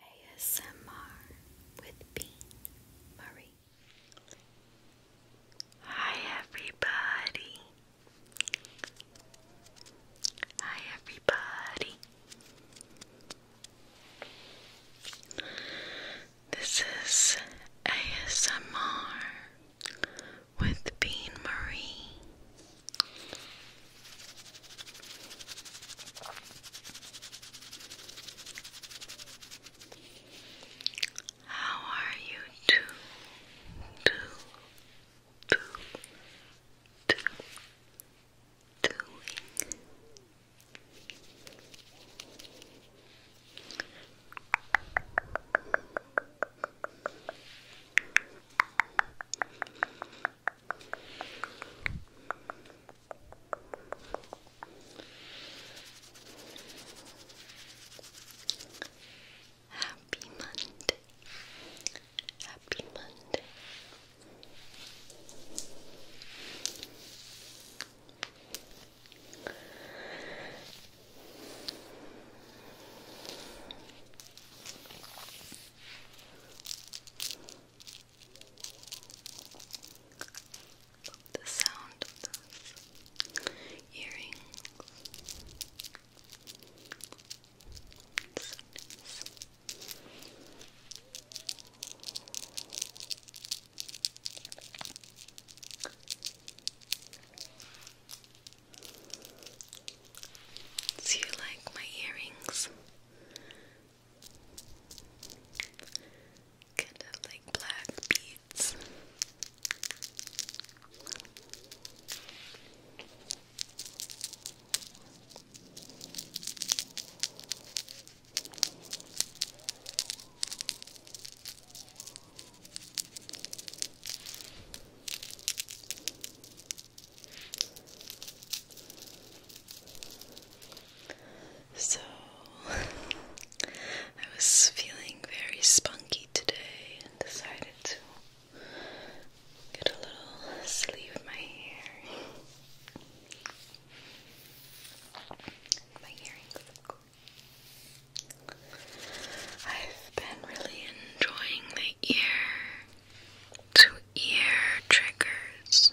ASMR with Bean Marie. Hi, everybody. Hi, everybody. This is ASMR with Bean Marie. How are you two? Two, two, two, doing? Happy Monday. Happy Monday the sound of those earrings. Do you like my earrings? Kind of like black beads. So, I was feeling very spunky today and decided to get a little sleeve in my hair. my earrings, I've been really enjoying the ear to ear triggers.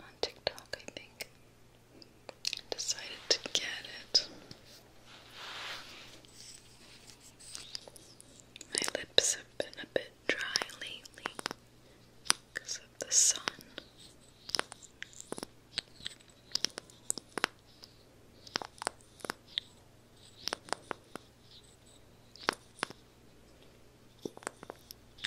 on TikTok, I think. Decided to get it. My lips have been a bit dry lately because of the sun.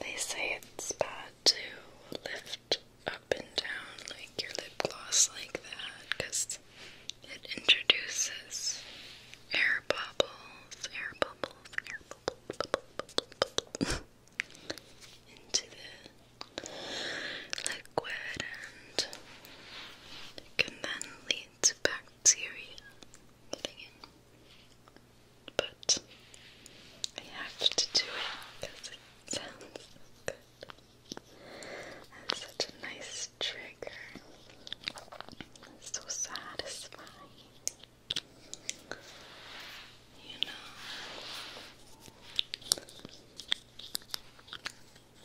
They say it's bad to lift up and down like your lip gloss like that because it introduces air bubbles, air bubbles bubbles, air into the liquid and can then lead to bacteria But I have to do it because it sounds good. such a nice trigger so satisfying. You know, I'm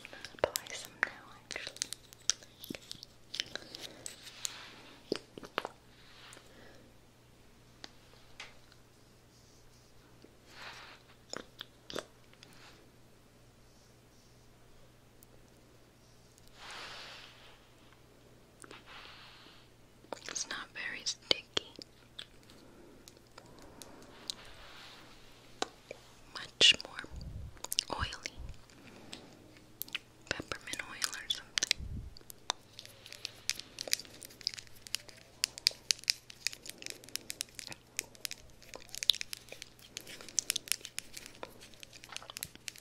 gonna apply some now actually. It's not very sticky. Much more oily. Peppermint oil or something.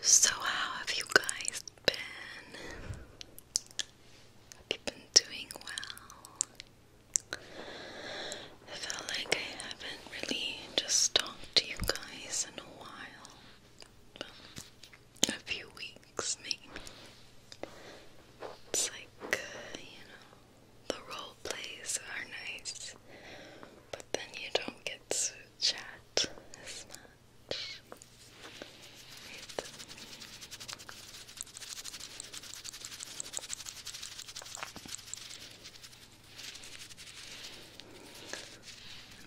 So, how have you guys been? Have you been doing well? I felt like I haven't really just talked to you guys in a while. a few weeks, maybe. It's like, uh, you know, the role plays are nice, but then you don't get to chat as much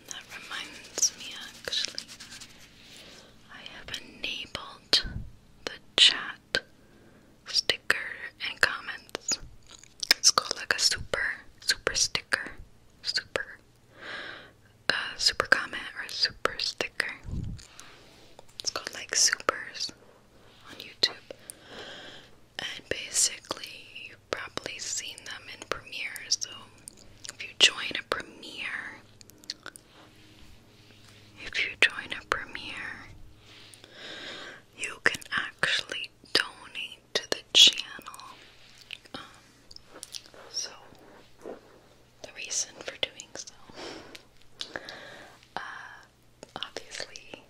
that reminds me actually I have enabled the chat sticker and comments it's called like a super super sticker, super a uh, super comment or a super sticker. It's called like supers on YouTube, and basically you've probably seen them in premieres. So if you join a Premiere, if you join a Premiere. You can actually actually donate to the channel. Um, so, the reason for doing so, uh, obviously,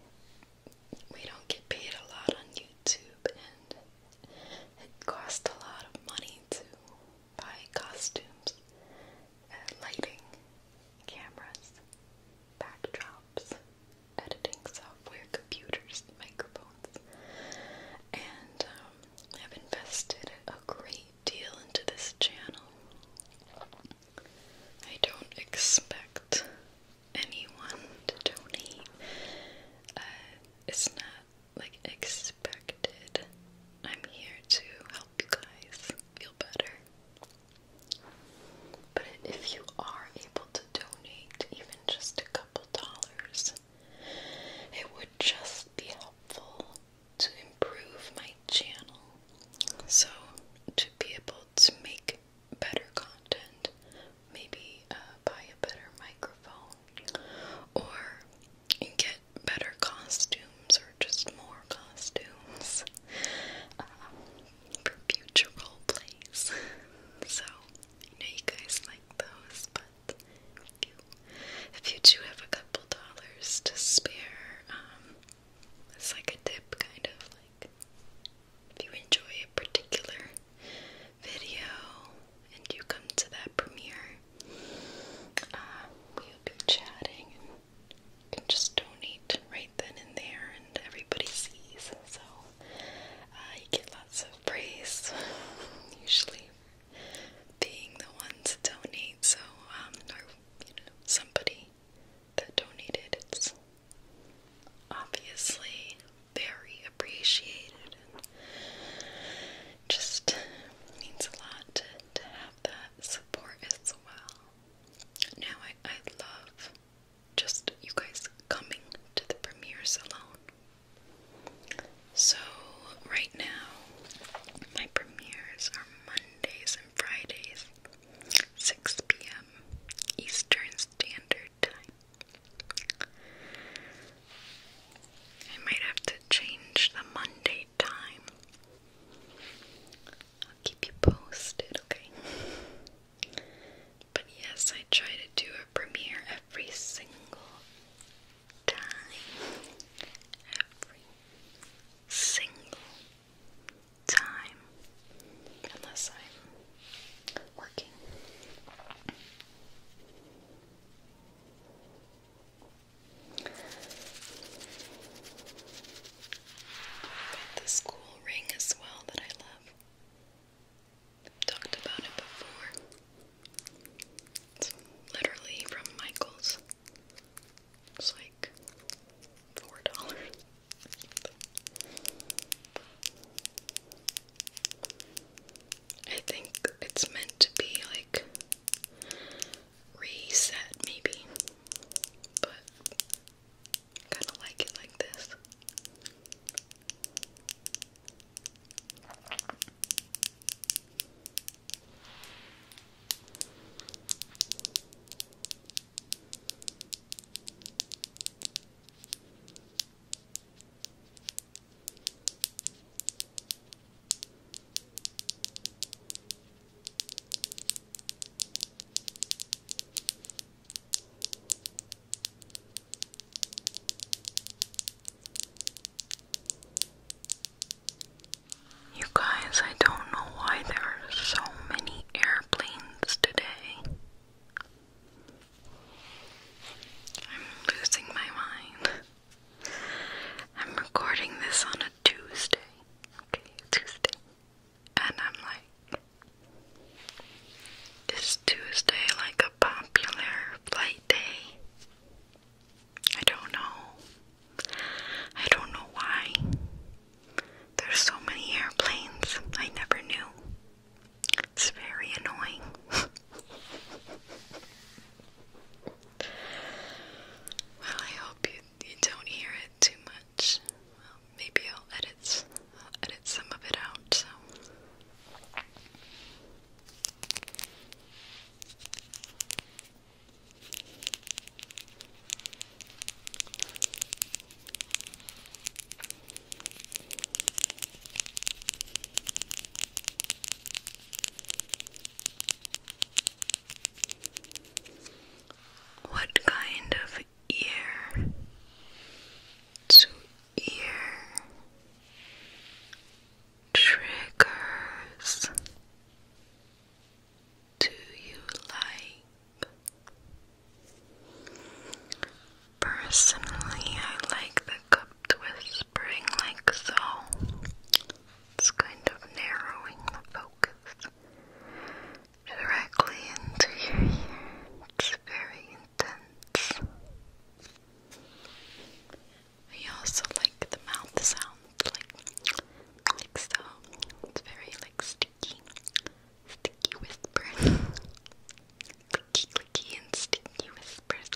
we don't get paid a lot on YouTube, and it costs a lot of money to buy costumes, uh, lighting, cameras, backdrops, editing software, computers, microphones, and um, I've invested a great deal into this channel. I don't expect anyone to donate. Uh, it's not like expected. I'm here to help you guys feel better. But if you are able to donate even just a couple dollars. It would just be helpful to improve my channel. So, to be able to make better content, maybe uh, buy a better microphone or get better costumes or just more costumes. Uh, for future role plays. so I know you guys like those, but if you, do have a couple dollars to spare, um, it's like a tip, kind of like if you enjoy a particular video and you come to that premiere, uh, we'll be chatting and you can just donate right right then and there, and everybody sees. So uh, you get lots of praise, usually being the ones that donate. So, um, or you know, somebody that donated, it's obviously very appreciated, and just means a lot to, to have that support as well. Now, I, I love just you guys coming to the premieres alone. So, right now, my premieres are Mondays and Fridays, 6 p.m. Eastern Standard Time. I might have to change the Monday time. I'll keep you posted, okay? But yes, I try to do a premiere every single time. Every single time. Unless I'm working. I've ring as well that I love i talked about it before. It's literally from Michael's. It's like four dollars. I think it's meant to be like reset, maybe, but Kind of like it like this. You guys, I don't know why there are so many airplanes today. I'm losing my mind. I'm recording this on a Tuesday. Okay, Tuesday and I'm like, is Tuesday like a popular flight day? I don't know. I don't know why. There's so many airplanes. I never knew. It's very annoying. well, I hope you, you don't hear too much. maybe I'll edit, uh, edit some of it out. What kind of ear to ear triggers. Do you like? Personally, I like the cupped whispering like so. It's kind of narrowing focus directly into your ear. It's very intense. I also like the mouth sounds, like so. It's very like sticky, sticky whispers. clicky, clicky, and sticky whispers.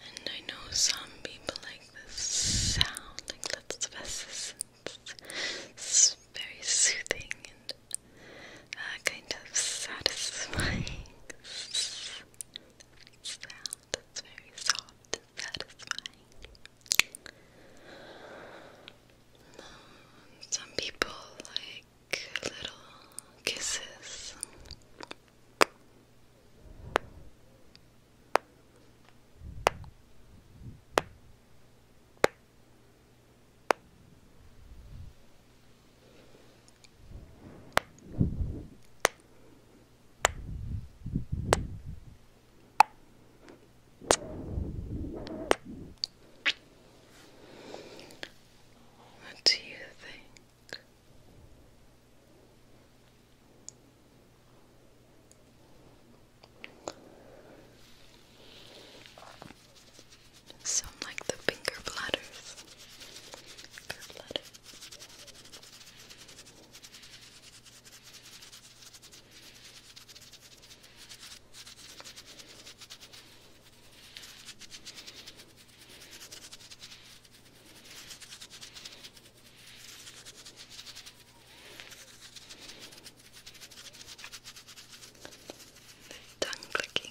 And I know some people like this sound, like that's the best. It's very soothing and uh, kind of satisfying sound. It's very soft and satisfying. Um, some people like little kisses. What do you think? Some like the finger bladders. The tongue clicking.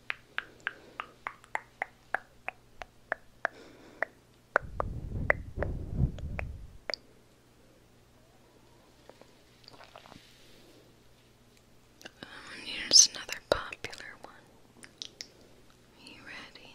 Um, here's another popular one. Are you ready?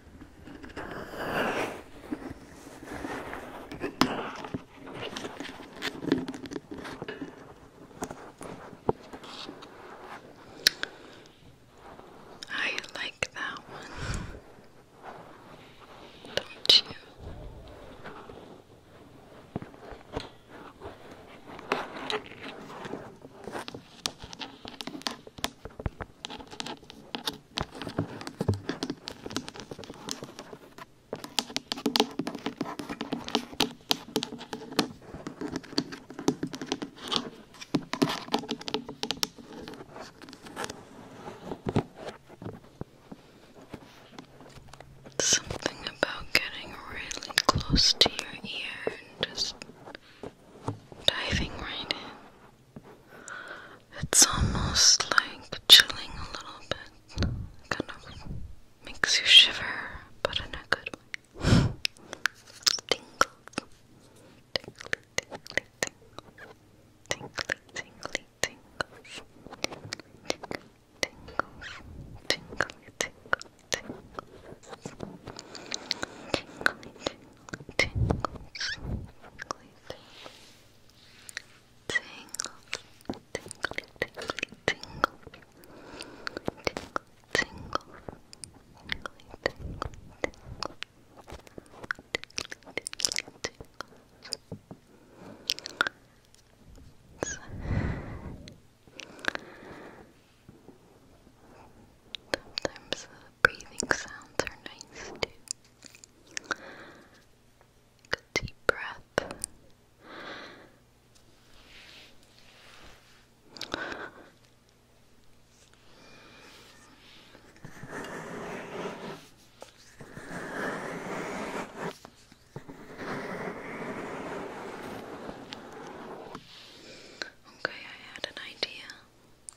I like that one, don't you? Something about getting really close to your ear and just diving right in. It's almost like chilling a little bit. Kind of makes you shiver, but in a good way. Tingles. Tingly, tingly, tingles. Tingly, tingly, tingles. Tingly, tingles. Tingly, tingly, tingles. Tingly, tingly, tingles. Tingly, tingle, tingle, tingle, tingle, tingle, tingle, tingle, tingle. So, sometimes breathing sounds are nice too. a deep breath. Okay, I had an idea.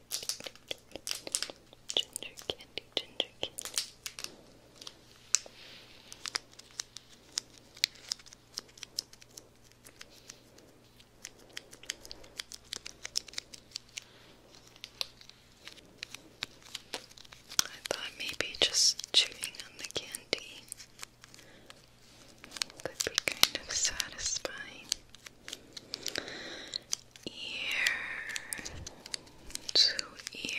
I thought maybe just chewing on the candy could be kind of satisfying ear to ear.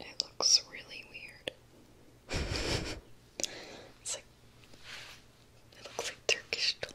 It looks really weird. it's like it looks like Turkish delight.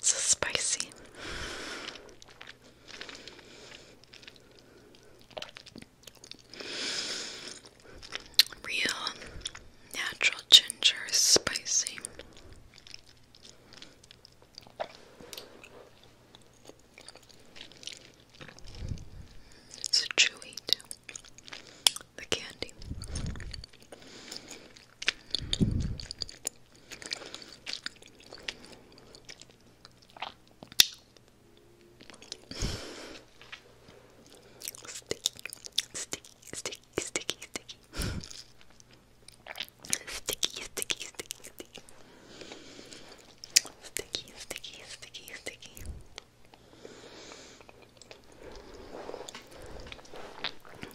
so spicy. Real natural ginger is spicy. It's chewy too. The candy. Sticky, sticky, sticky, sticky, sticky. Sticky, sticky, sticky, Sticky, sticky, sticky, sticky.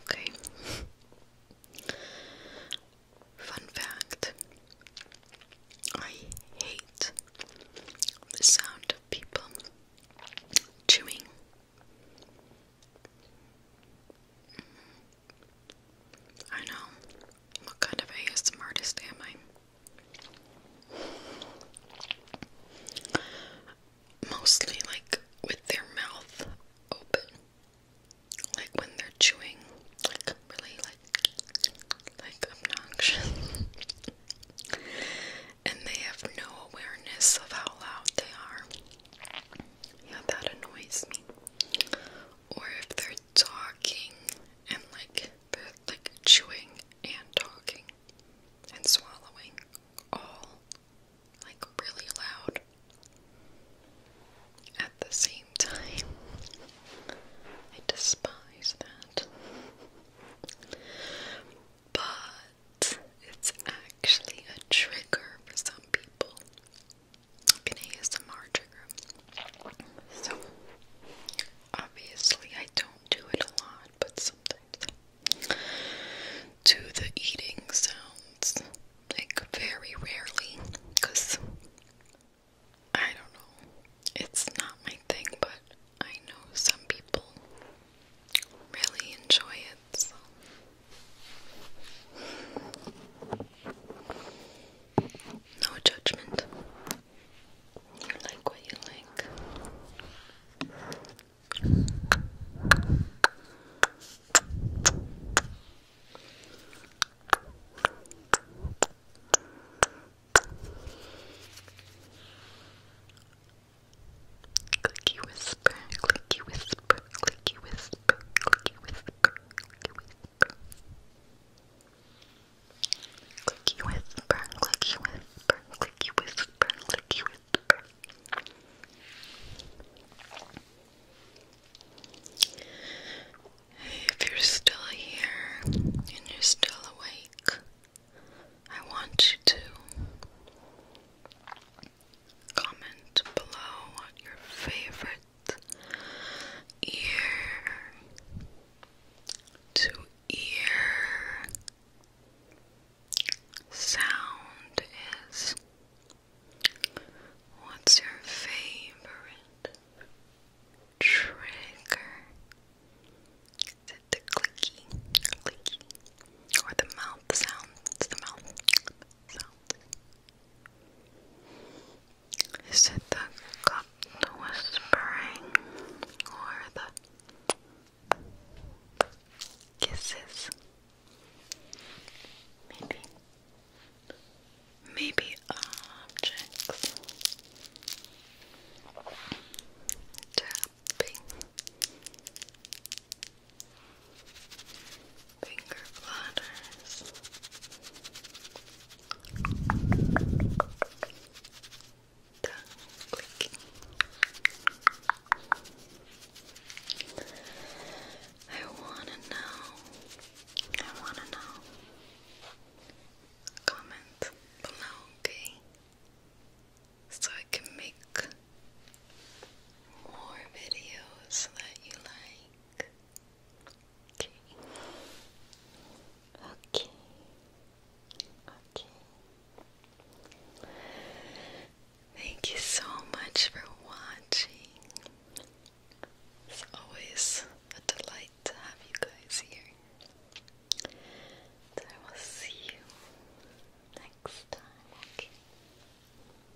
Okay. Fun fact I hate the sound of people chewing. I know. What kind of ASMR artist am I? Mostly like with their mouth open. Like when they're chewing. Like really like like obnoxious. and they have no awareness of how loud they are. Yeah, that annoys me or if they're talking and like they're like chewing and talking and swallowing all like really loud at the same time. I despise that. But it's actually a trigger for some people. I'm gonna So obviously I don't do it a lot, but sometimes to the eating sounds like very rarely, cause I don't know, it's not my thing, but I know some people really enjoy it. So. No judgment. You like what you like. Clicky whisper, clicky whisper, clicky whisper, clicky whisper, clicky whisper. Clicky whisper, clicky whisper, clicky whisper, clicky whisper. if you're still here and you're still awake, I want you to comment below what your favorite ear to ear sound is. What's your favorite trigger? Is it the clicky, clicky, or the mouth sound? It's the mouth sound. Is it the cup whispering or the kisses? Maybe. Maybe objects. Tapping finger platters. I wanna know. I wanna know. Comment below, okay? So I can make more videos that you like. Okay. Okay. Okay. Thank you so much for watching. It's always a delight to have you guys here. I will see you next time. Okay.